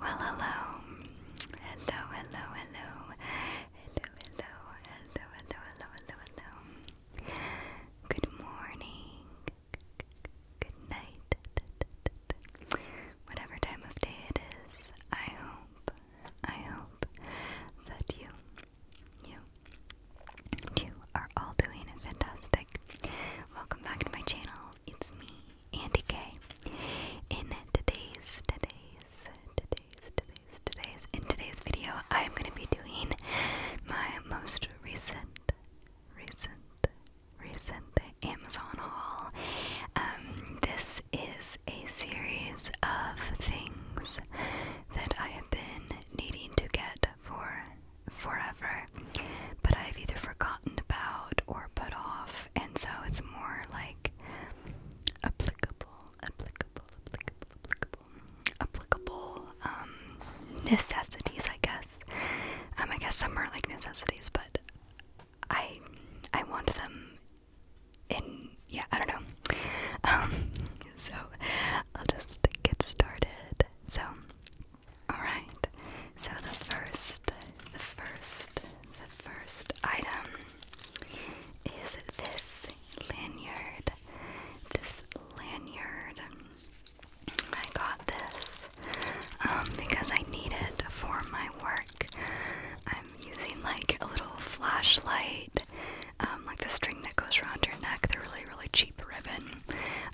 Well, hello. Hello, hello, hello. Hello, hello, hello, hello, hello, hello, Good morning. Good night. Whatever time of day it is, I hope, I hope that you, you, you are all doing fantastic. Welcome back to my channel. It's me, Andy K. In today's, today's, today's, today's, today's, in today's video, I'm going to be doing my most recent, recent, recent Amazon haul. Um, this is a series of things that I have been needing to get for forever, but I've either forgotten about or put off, and so it's more like applicable, applicable, applicable, applicable, applicable um, necessities, I guess. Um, I guess some are like necessities, but I I want them in yeah I don't know. Um, so I'll just get started. So Alright, so the first, the first, the first item is this lanyard. This lanyard. I got this um, because I need it for my work. I'm using like a little flashlight, um, like the string that goes around your neck, the really, really cheap ribbon.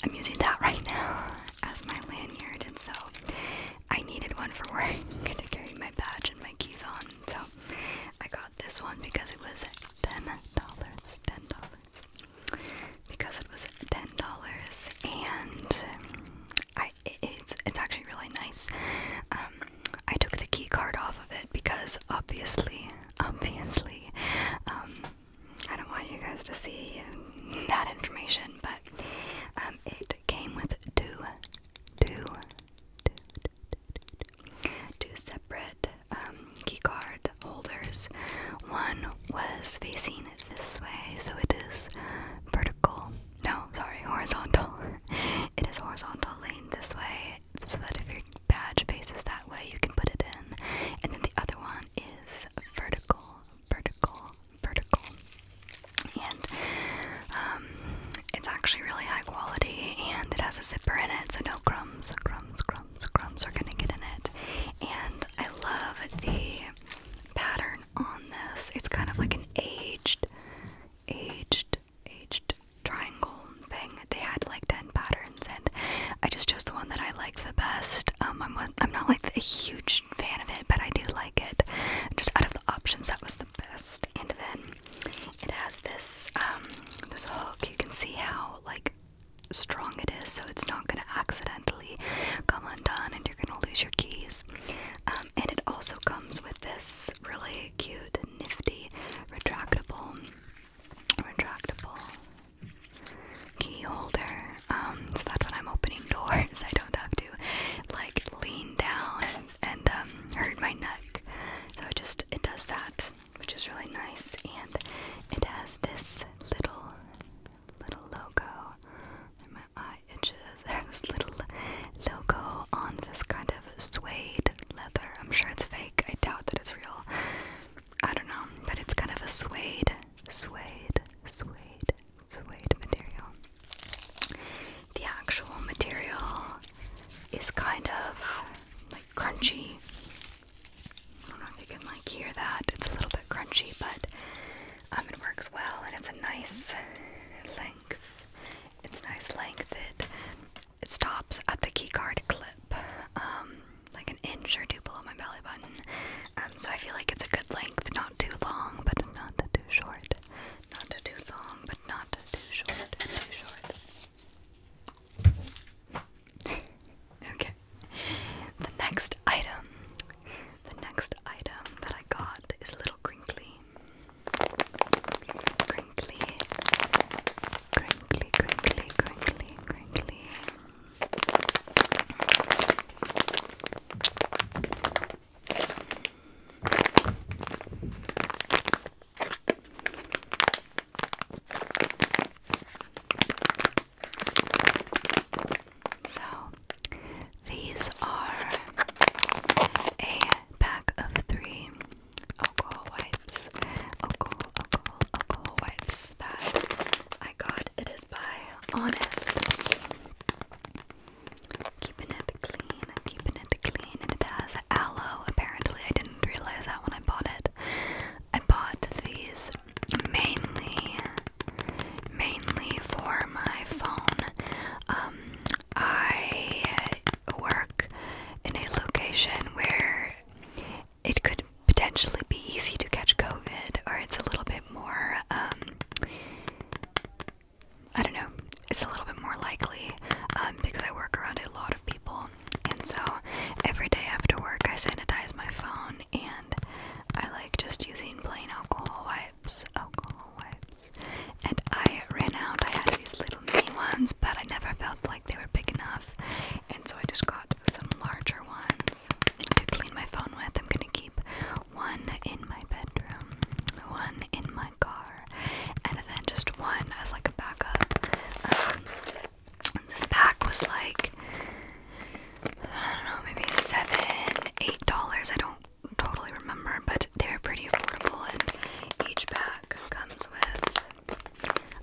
I'm using that right now, as my lanyard, and so I needed one for where work to carry my badge and my keys on. So I got this one because it was ten dollars. Ten dollars because it was ten dollars, and um, I it's it's actually really nice. Um, I took the key card off of it because obviously, obviously, um, I don't want you guys to see that information, but um, it came with two, two, two, two, two separate um, keycard holders. One was facing this way, so it is vertical. No, sorry, horizontal. it is horizontal lane this way, so that if your badge faces that way, you can put it in. And then the other one is vertical, vertical, vertical, and um, it's actually really high quality. And it has a zipper in it, so no crumbs, crumbs, crumbs, crumbs are gonna get in it. And I love the pattern on this. It's kind of like an aged, aged, aged triangle thing. They had like ten patterns, and I just chose the one that I liked the best. Um, I'm not like a huge fan of it, but I do like it. Just out of the options, that was the best. And then it has this um, this hook. You can see how like strong it is, so it's not gonna accidentally come undone, and you're gonna lose your keys. Um, and it also comes with this really cute, nifty retractable, retractable key holder, um, so that when I'm opening doors, I don't have to like lean down and, um, hurt my neck. So it just it does that, which is really nice. And it has this little little logo. And my eye itches. this little logo on this kind of suede leather. I'm sure it's fake. I doubt that it's real. I don't know, but it's kind of a suede suede, suede, suede material. The actual material is kind of like crunchy. I don't know if you can like hear that. It's a little bit crunchy, but um, it works well, and it's a nice length. It's nice length. It, it stops at the keycard clip. Um, like an inch or two below my belly button. Um, so I feel like it's a good length, not too long, but not too short. Not too long, but not too short. Too short. okay. The next item, the next item that I got is a little crinkly. Crinkly, crinkly, crinkly, crinkly, crinkly. So, these are a pack of three alcohol wipes. Alcohol, alcohol, alcohol wipes that I got. It is by Honest. Keeping it clean, keeping it clean, and it has aloe. Apparently, I didn't realize that when I bought it. I bought these mainly, mainly for my phone. Um, I work in a location where it could potentially be easy to catch COVID, or it's a little bit more, um, I don't know, it's a little bit more likely um, because I work around a lot of people. And so every day after work, I sanitize my phone and I like just using plain alcohol wipes. Alcohol wipes. And I ran out, I had these little mini ones, but I never felt like they were big enough. And so I just got some larger ones to clean my phone with. I'm gonna keep one in my bedroom, one in my car, and then just one as like a backup. Um, this pack was like I don't know, maybe seven, eight dollars. I don't totally remember, but they're pretty affordable, and each pack comes with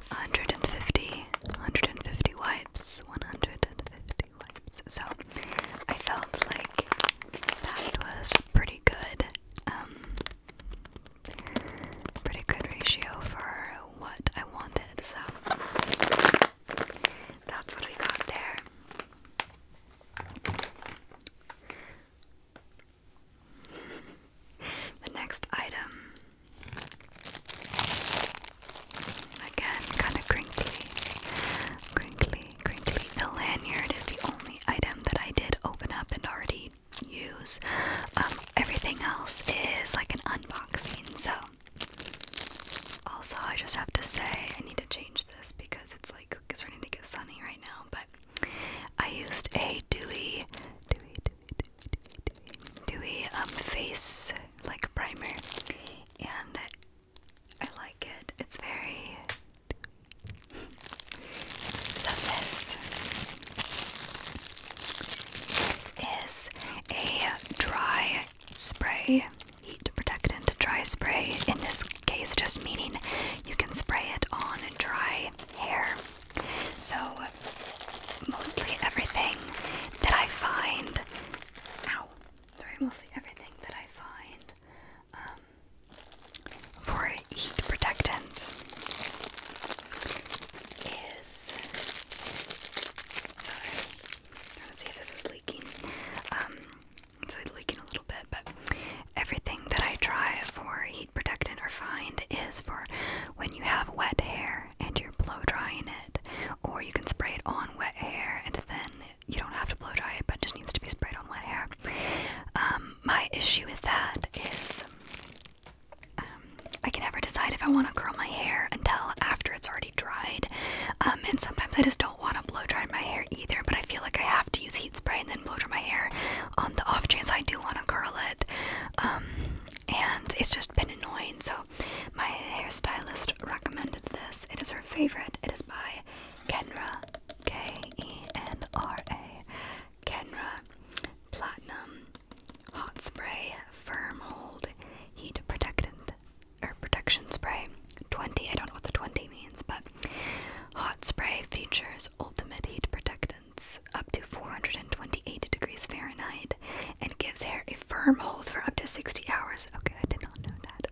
150, 150 wipes. 150 wipes. So I felt like that was pretty good. Um, pretty good ratio for what I wanted. So that's what we got there. the next item Again, kind of crinkly, crinkly, crinkly. The lanyard is the only item that I did open up and already use. Um, everything else is like an unboxing. So, also, I just have to say, I need to change this because it's like it's starting to get sunny right now. But I used a Dewey, Dewey, Dewey, dewy um, face like primer, and I like it. It's very. so this, this is a dry spray, heat protectant dry spray. In this case, just meaning you can spray it on dry hair. So mostly everything that I find. Um, for heat protectant is. Sorry, see if this was leaking. Um, it's leaking a little bit, but everything that I try for heat protectant or find is for when you have wet hair and you're blow drying it or you can spray it on wet hair, and then you don't have to blow dry it, but just needs to be sprayed on wet hair. Um, my issue with that is um, I can never decide if I want to curl my hair until after it's already dried, um, and sometimes I just don't want to blow dry my hair either. But I feel like I have to use heat spray and then blow dry my hair on the off chance I do want to curl it. and it's just been annoying, so my hairstylist recommended this. It is her favorite. It is by Kenra, K E N R A, Kenra Platinum Hot Spray Firm Hold Heat Protectant or Protection Spray 20. I don't know what the 20 means, but hot spray features ultimate heat protectants up to 400 28 degrees Fahrenheit and gives hair a firm hold for up to 60 hours. Okay, I did not know that.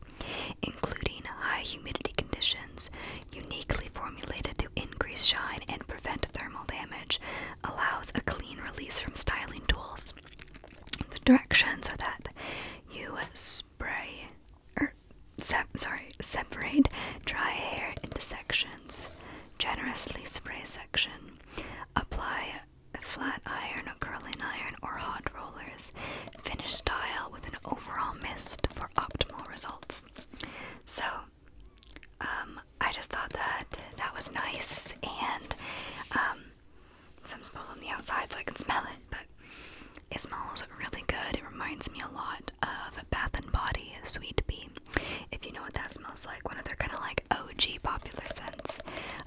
Including high humidity conditions, uniquely formulated to increase shine and prevent thermal damage, allows a clean release from styling tools. The directions are that you spray or er, sorry, separate dry hair into sections. Generously spray a section. Apply flat iron, curling iron, or hot rollers. Finish style with an overall mist for optimal results. So, um, I just thought that that was nice, and um, some smells on the outside, so I can smell it. But it smells really good. It reminds me a lot of Bath and Body Sweet Bee. If you know what that smells like, one of their kind of like OG popular scents.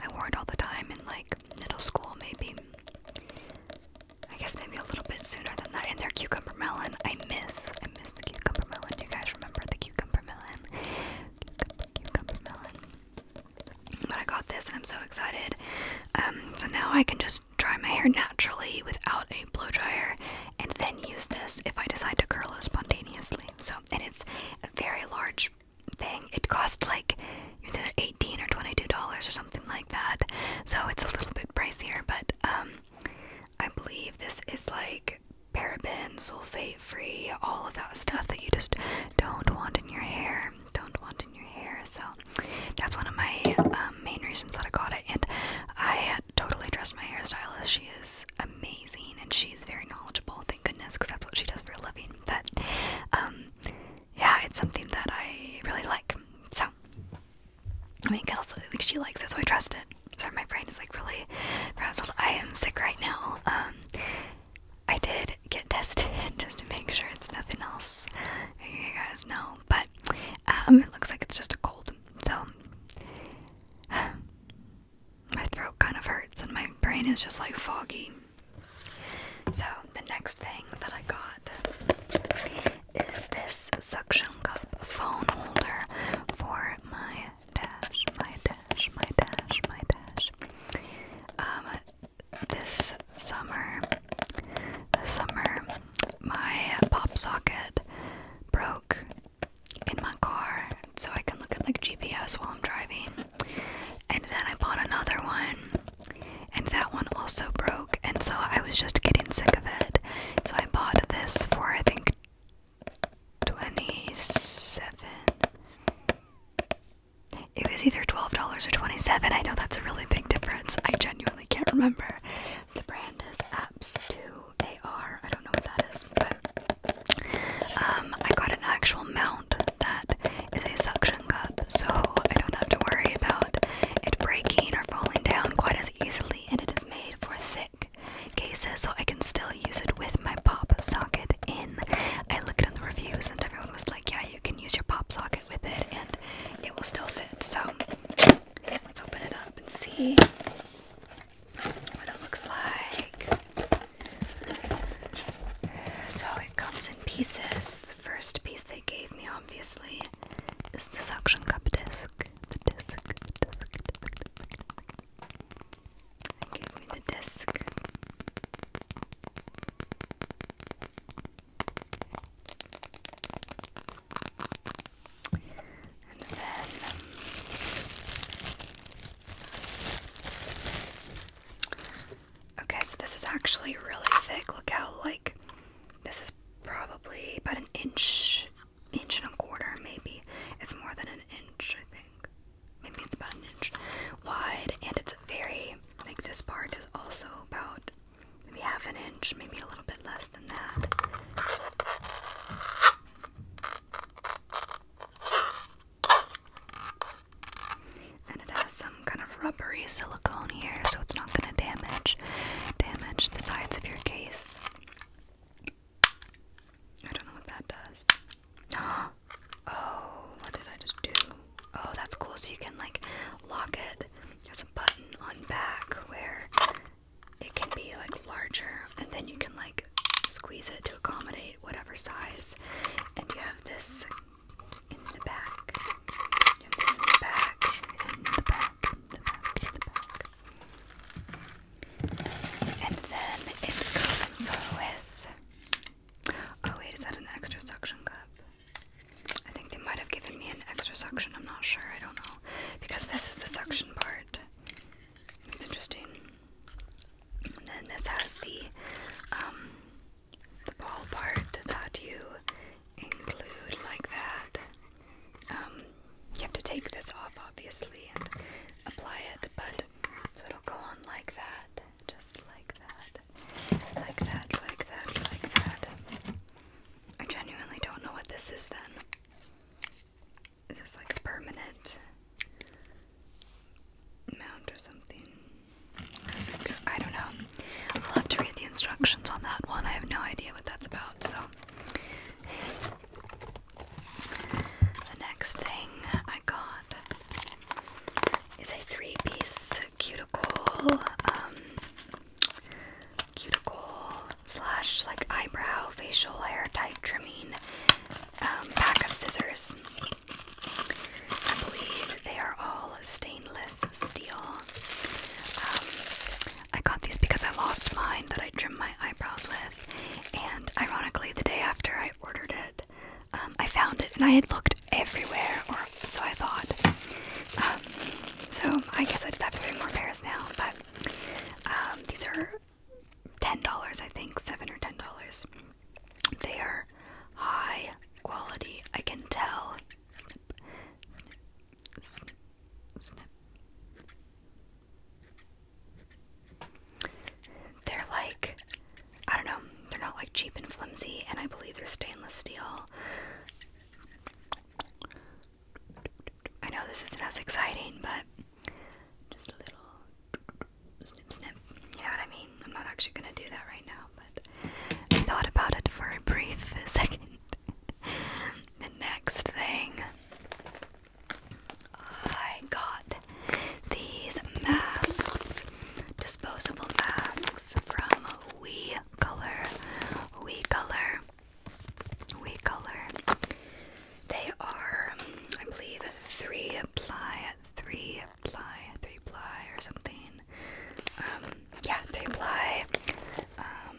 I wore it all the time in like middle school, maybe. I guess maybe a little bit sooner than that. And their cucumber melon, I miss. I miss the cucumber melon. You guys remember the cucumber melon? But I got this and I'm so excited. Um, so now I can just dry my hair naturally without a blow dryer and then use this if I decide to curl it spontaneously. So and it's a very large thing. It cost like eighteen or twenty-two dollars or something like that. So it's a little bit pricier, but um, I believe this is like paraben, sulfate-free, all of that stuff that you just don't want in your hair. Don't want in your hair. So that's one of my um, main reasons that I got it, and I totally trust my hairstylist. She is amazing and she's very knowledgeable, thank goodness, because that's what she does for a living. But um, yeah, it's something that I really like. So, I mean, cause, like, she likes it, so I trust it. Sorry, my brain is like really frazzled. I am sick right now. Um, I did get tested just to make sure it's nothing else. You guys know, but um, it looks like it's just a cold. So, my throat kind of hurts and my brain is just like foggy. So, the next thing that I got is this suction cup phone holder for my dash, my dash, my dash, my dash. Um, this summer, this summer, my pop socket broke in my car so I can look at like GPS while I'm driving. And then I bought another one, and that one also broke, and so I was just getting sick of it. So I bought this for I think 27 it was either $12 or 27 i know that's a really big difference i genuinely can't remember the brand is apps 2 they are. I don't know what that is, but um, I got an actual mount that is a suction cup, so I don't have to worry about it breaking or falling down quite as easily, and it is made for thick cases, so I can still use it with my pop socket in. I looked in the reviews, and everyone was like, "Yeah, you can use your pop socket with it, and it will still fit." So let's open it up and see what it looks like. So it comes in pieces. The first piece they gave me, obviously, is the suction cup disc. They gave me the disc and then okay so this is actually really thick look how like this is probably about an inch inch and a quarter maybe it's more than an inch i think maybe it's about an inch wide and it's very like this part is also about maybe half an inch maybe a little bit less than that and it has some kind of rubbery silicone here, so it's not going to damage damage the sides of your case. I don't know what that does. Oh, what did I just do? Oh, that's cool. So you can like lock it. There's a button on back where it can be like larger and then you can like squeeze it to accommodate whatever size. And you have this in the back. You have this in the back, in the back, the back, the back. And then it comes with. Oh, wait, is that an extra suction cup? I think they might have given me an extra suction, I'm not sure, I don't know. Because this is the suction part. It's interesting. And then this has the um, the ball part that you include like that. Um, you have to take this off obviously and apply it, but so it'll go on like that, just like that, like that, like that, like that. I genuinely don't know what this is then. Is this like a permanent mount or something? I don't know. I'll have to read the instructions on that one. I have no idea what that's about, so. The next thing I got is a three piece cuticle, um, cuticle slash like eyebrow facial hair type trimming um, pack of scissors. I believe they are all stainless steel. Um, I got these because I lost mine that I trimmed my eyebrows with, and ironically, the day after I ordered it, um, I found it and I had looked everywhere, or so I thought. so I guess I just have to three more pairs now, but these are ten dollars, I think, seven or ten dollars. They are high quality. I can tell. They're like, I don't know. They're not like cheap and flimsy, and I believe they're stainless steel. I know this isn't as exciting, but just a little snip snip. You know what I mean? I'm not actually gonna do that right now, but I thought about it for a brief second. the next thing I got these masks, disposable masks from Color. WeColor. Color. We color. They are, I believe, three ply, three ply, three ply, or something. Um, yeah, three ply. Um,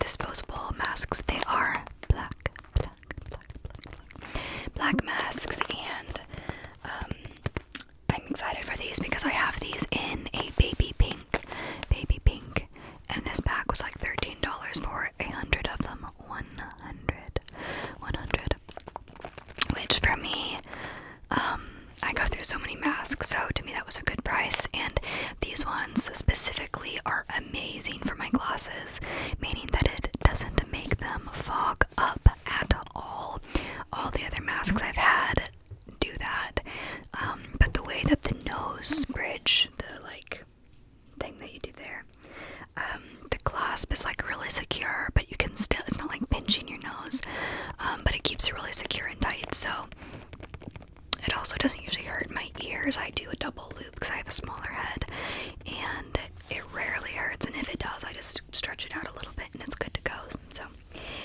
disposable masks. They are black, black, black, black, black, masks, and um, I'm excited for these because I have these in a baby pink, baby pink and this pack was like $13 for a hundred of them. 100. 100. Which for me, um, I go through so many masks, so to me that was a good price. And these ones specifically are amazing for my glasses, meaning that it doesn't make them fog up at all. All the other masks I've had do that. Um, but the way that the nose bridge, the like thing that you do there, um, the clasp is like really secure, but you can still, it's not like pinching your nose, um, but it keeps it really secure and tight. So it also doesn't usually hurt my ears. I do a double loop because I have a smaller head and it rarely hurts. And if it does, I just stretch it out a little bit and it's good to go. So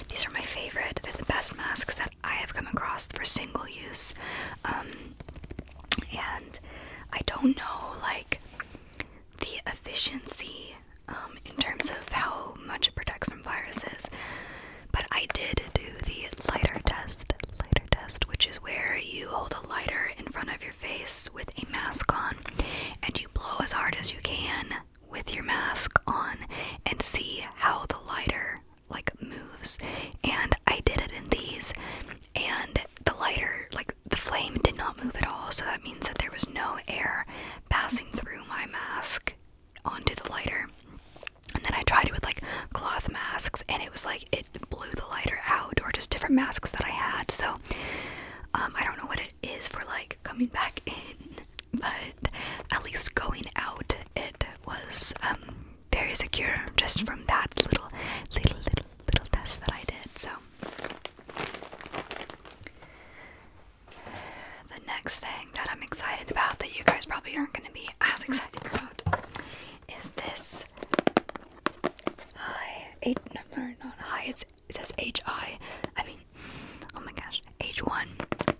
these are my favorite. They're the best masks. that. I have come across for single use. Um, and I don't know, like, the efficiency um, in terms of how much it protects from viruses. But I did do the lighter test, lighter test, which is where you hold a lighter in front of your face with a mask on and you blow as hard as you can with your mask on and see how the lighter like moves and I did it in these and the lighter like the flame did not move at all so that means that there was no air passing through my mask onto the lighter and then I tried it with like cloth masks and it was like it blew the lighter out or just different masks that I had so um, I don't know what it is for like coming back in but at least going out it was um, there is a cure just from that little, little, little, little test that I did. So, the next thing that I'm excited about that you guys probably aren't going to be as excited about is this. Hi, H, no, not hi, it says HI. mean, oh my gosh, H1,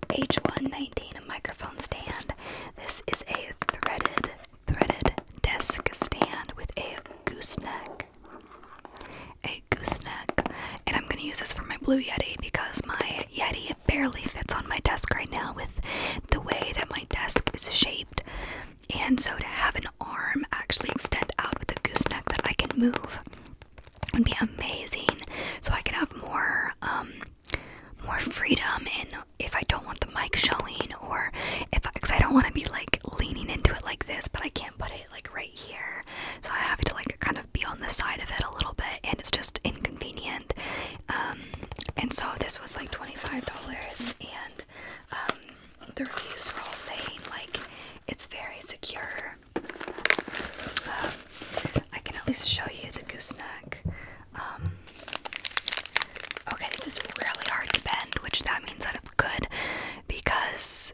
H119, a microphone stand. This is a threaded, threaded desk stand with a gooseneck. A gooseneck. And I'm gonna use this for my Blue Yeti because my Yeti barely fits on my desk right now with the way that my desk is shaped. And so to have an arm actually extend out with a gooseneck that I can move would be amazing. So I can have more um, more freedom and if I don't want the mic showing or if I, because I don't want to be like leaning into it like this, but I can't put it like right here, so I have to like kind of be on the side of it a little bit, and it's just inconvenient. Um, and so this was like twenty five dollars, and um, the reviews were all saying like it's very secure. Um, I can at least show you the gooseneck. Um, okay, this is really hard to bend, which that means that it's good because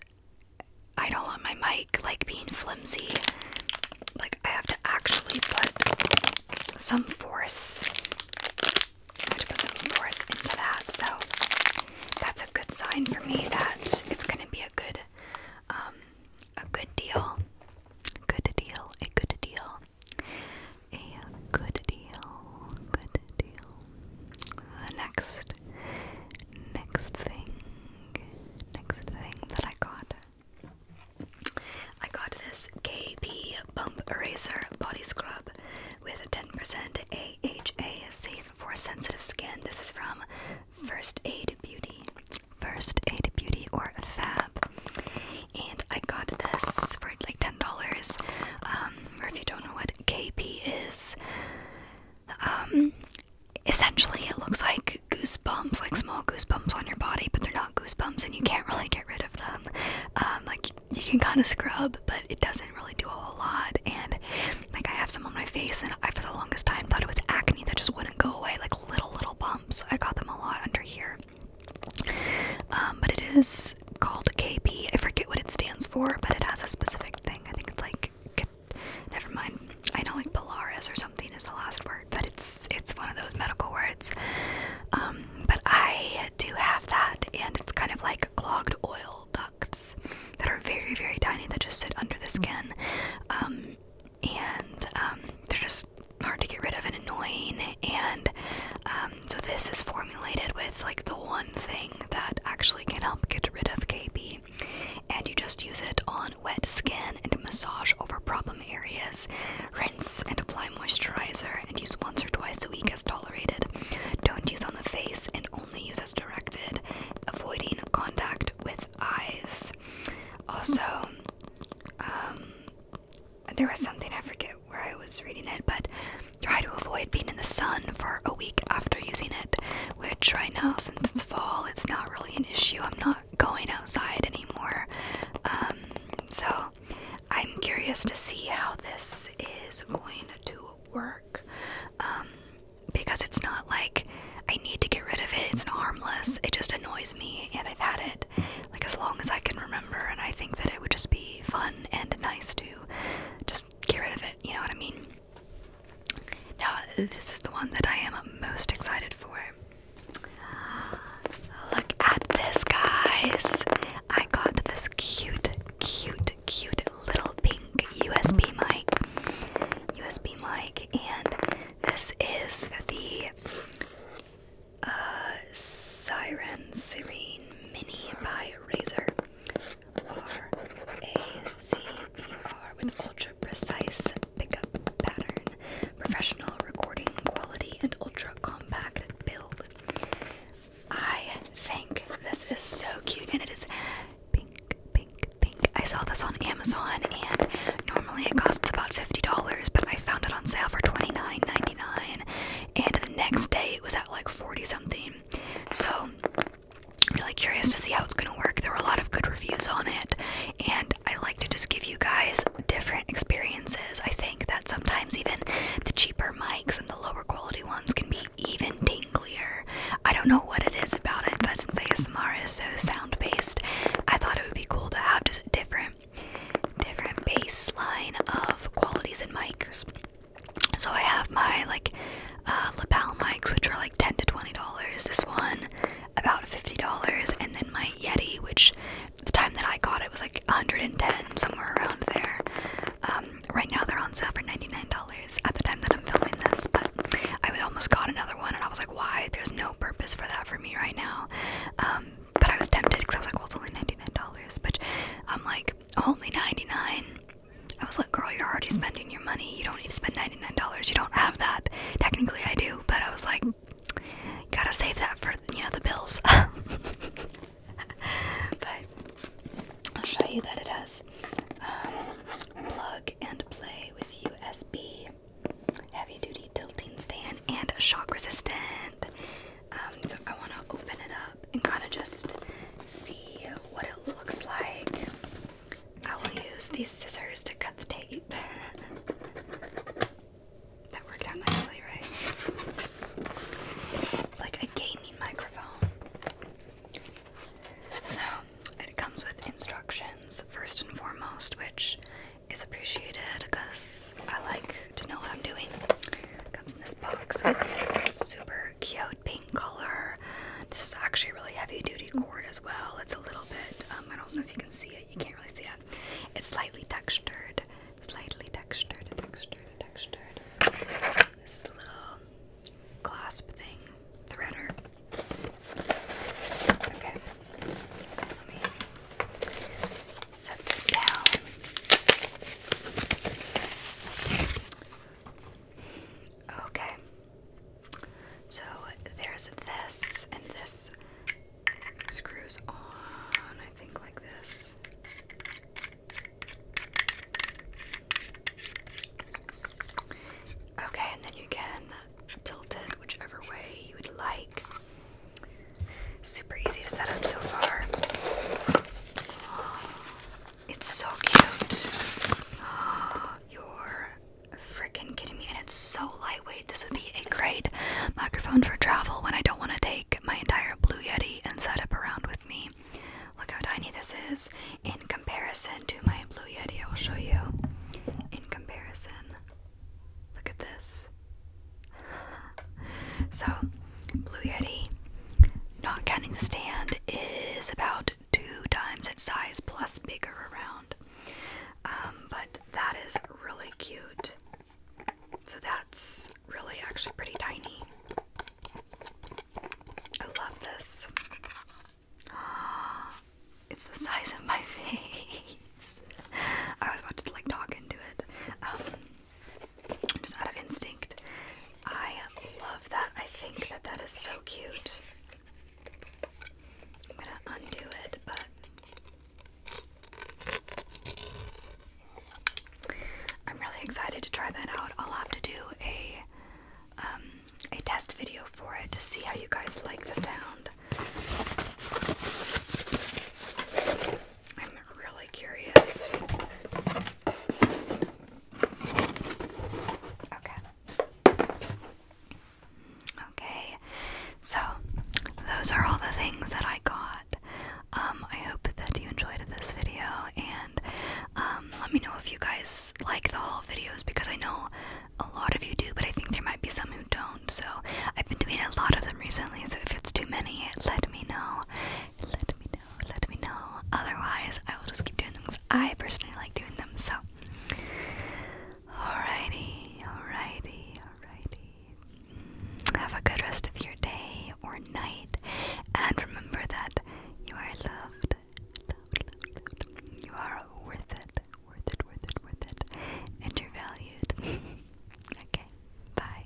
I don't want my mic like being flimsy. Like I have to actually put some force. I have to put some force into that, so that's a good sign for me that it's gonna be a good um, a good deal. Good deal, a good deal. A good deal, good deal. The next, next thing, next thing that I got. I got this KP Bump Eraser Body Scrub with 10% AHA safe for sensitive skin. This is from First Aid Beauty. First Aid Beauty or Fab. And I got this for like $10. Um, or if you don't know what KP is, um, essentially it looks like goosebumps, like small goosebumps on your body, but they're not goosebumps and you can't really get rid of them. Um, like you can kind of scrub, but it doesn't really do a whole lot. And like I have some on my face, and I for the longest time thought it was acne that just wouldn't go away. Like little little bumps. I got them a lot under here. Um, but it is called KP. I forget what it stands for, but it has a specific thing. I think it's like never mind. I know like Polaris or something is the last word, but it's it's one of those medical words. Um, but I do have that, and it's kind of like clogged oil ducts that are very very tiny that just sit under the skin. Um, and um, they're just hard to get rid of and annoying. And um, so this is formulated with like the one thing that actually can help get rid of KP. and you just use it on wet skin and massage over problem areas. Rinse and apply moisturizer, and use once or twice a week as tolerated. Don't use on the face and only use as directed, avoiding contact with eyes. Also, um, there was something I forget where I was reading it, but try to avoid being in the sun for a week after using it. Which right now, since it's fall, it's not really an issue. I'm not going outside anymore, um, so I'm curious to see how this is going to work um, because it's not like I need to get rid of it. It's not harmless. It just annoys me, and I've had it like as long as I can remember. And I think that it would just be fun and nice to just get rid of it. You know what I mean? Now, this is the one that I am most excited for. Look at this, guys. I got this cute, cute, cute little pink USB mic. USB mic, and this is the uh, Siren Serene Mini by Razor. R A Z E R with ultra precise pickup pattern, professional recording quality, and ultra compact build. I think this is so cute and it is pink, pink, pink. I saw this on Amazon, and normally it costs about $50, but I found it on sale for $29.99. And the next day it was at like 40 something. So I'm really curious to see how it's going to work. There were a lot of good reviews on it, and I like to just give you guys different experiences. I think that sometimes even the cheaper mics and the lower quality ones can be even tinglier. I don't know what it is about it, but since ASMR is so sound based. I thought it would be cool to have just different, different baseline of qualities in mics. So I have my like uh, lapel mics, which were like ten to twenty dollars. This one about fifty dollars, and then my Yeti, which the time that I got it was like 110 somewhere around there. Um, right now they're on sale for $99 at the time that I'm filming this, but I almost got another one and I was like, why? There's no purpose for that for me right now. Um, but I was tempted because I was like, well, it's only $99. But I'm like, only 99 I was like, girl, you're already spending your money. You don't need to spend $99. You don't have that. Technically, I do. But I was like, gotta save that for, you know, the bills. but I'll show you that it has um, plug and play with USB heavy duty tilting stand and shock resistant. Um, so I want to open it up and kind of just see what it looks like. I will use these scissors to cut the tape. that worked out nicely, right? It's like a gaming microphone. So it comes with instructions first and foremost, which is appreciated because I like to know what I'm doing. comes in this box super cute pink color. This is actually really heavy duty cord as well. It's a little bit, um, I don't know if you can see it, you can't really see it. It's slightly textured, slightly textured, textured, textured. This is a little clasp thing threader. Okay. Let me set this down. Okay. So there's this, and this screws on, I think, like this. Okay, and then you can Tilted whichever way you would like. Super easy to set up so far. It's so cute. You're freaking kidding me. And it's so lightweight. This would be a great microphone for travel when I don't want to take my entire Blue Yeti and set up around with me. Look how tiny this is in comparison to my Blue Yeti, I will show you. In comparison, look at this. So, Blue Yeti, not counting the stand, is about two times its size plus bigger around. Um, but that is really cute. So that's really actually pretty tiny. I love this. It's the size of my face. I was about to like talk into it. Um, just out of instinct. I love that. I think that that is so cute. I'm gonna undo it, but. I'm really excited to try that out. I'll have to do a um, a test video for it to see how you guys like the sound. I'm really curious. Okay. Okay. So, those are all the things that I got. Um, I hope that you enjoyed this video and um, let me know if you guys like the haul videos because I know a lot of you do, but I think there might be some who don't. So I've been doing a lot of them recently. So if it's too many, let me know. Let me know. Let me know. Otherwise, I will just keep doing them because I personally like doing them. So, alrighty, alrighty, alrighty. Have a good rest of your day or night, and remember that you are loved. You are worth it, worth it, worth it, worth it, and you're valued. okay, bye.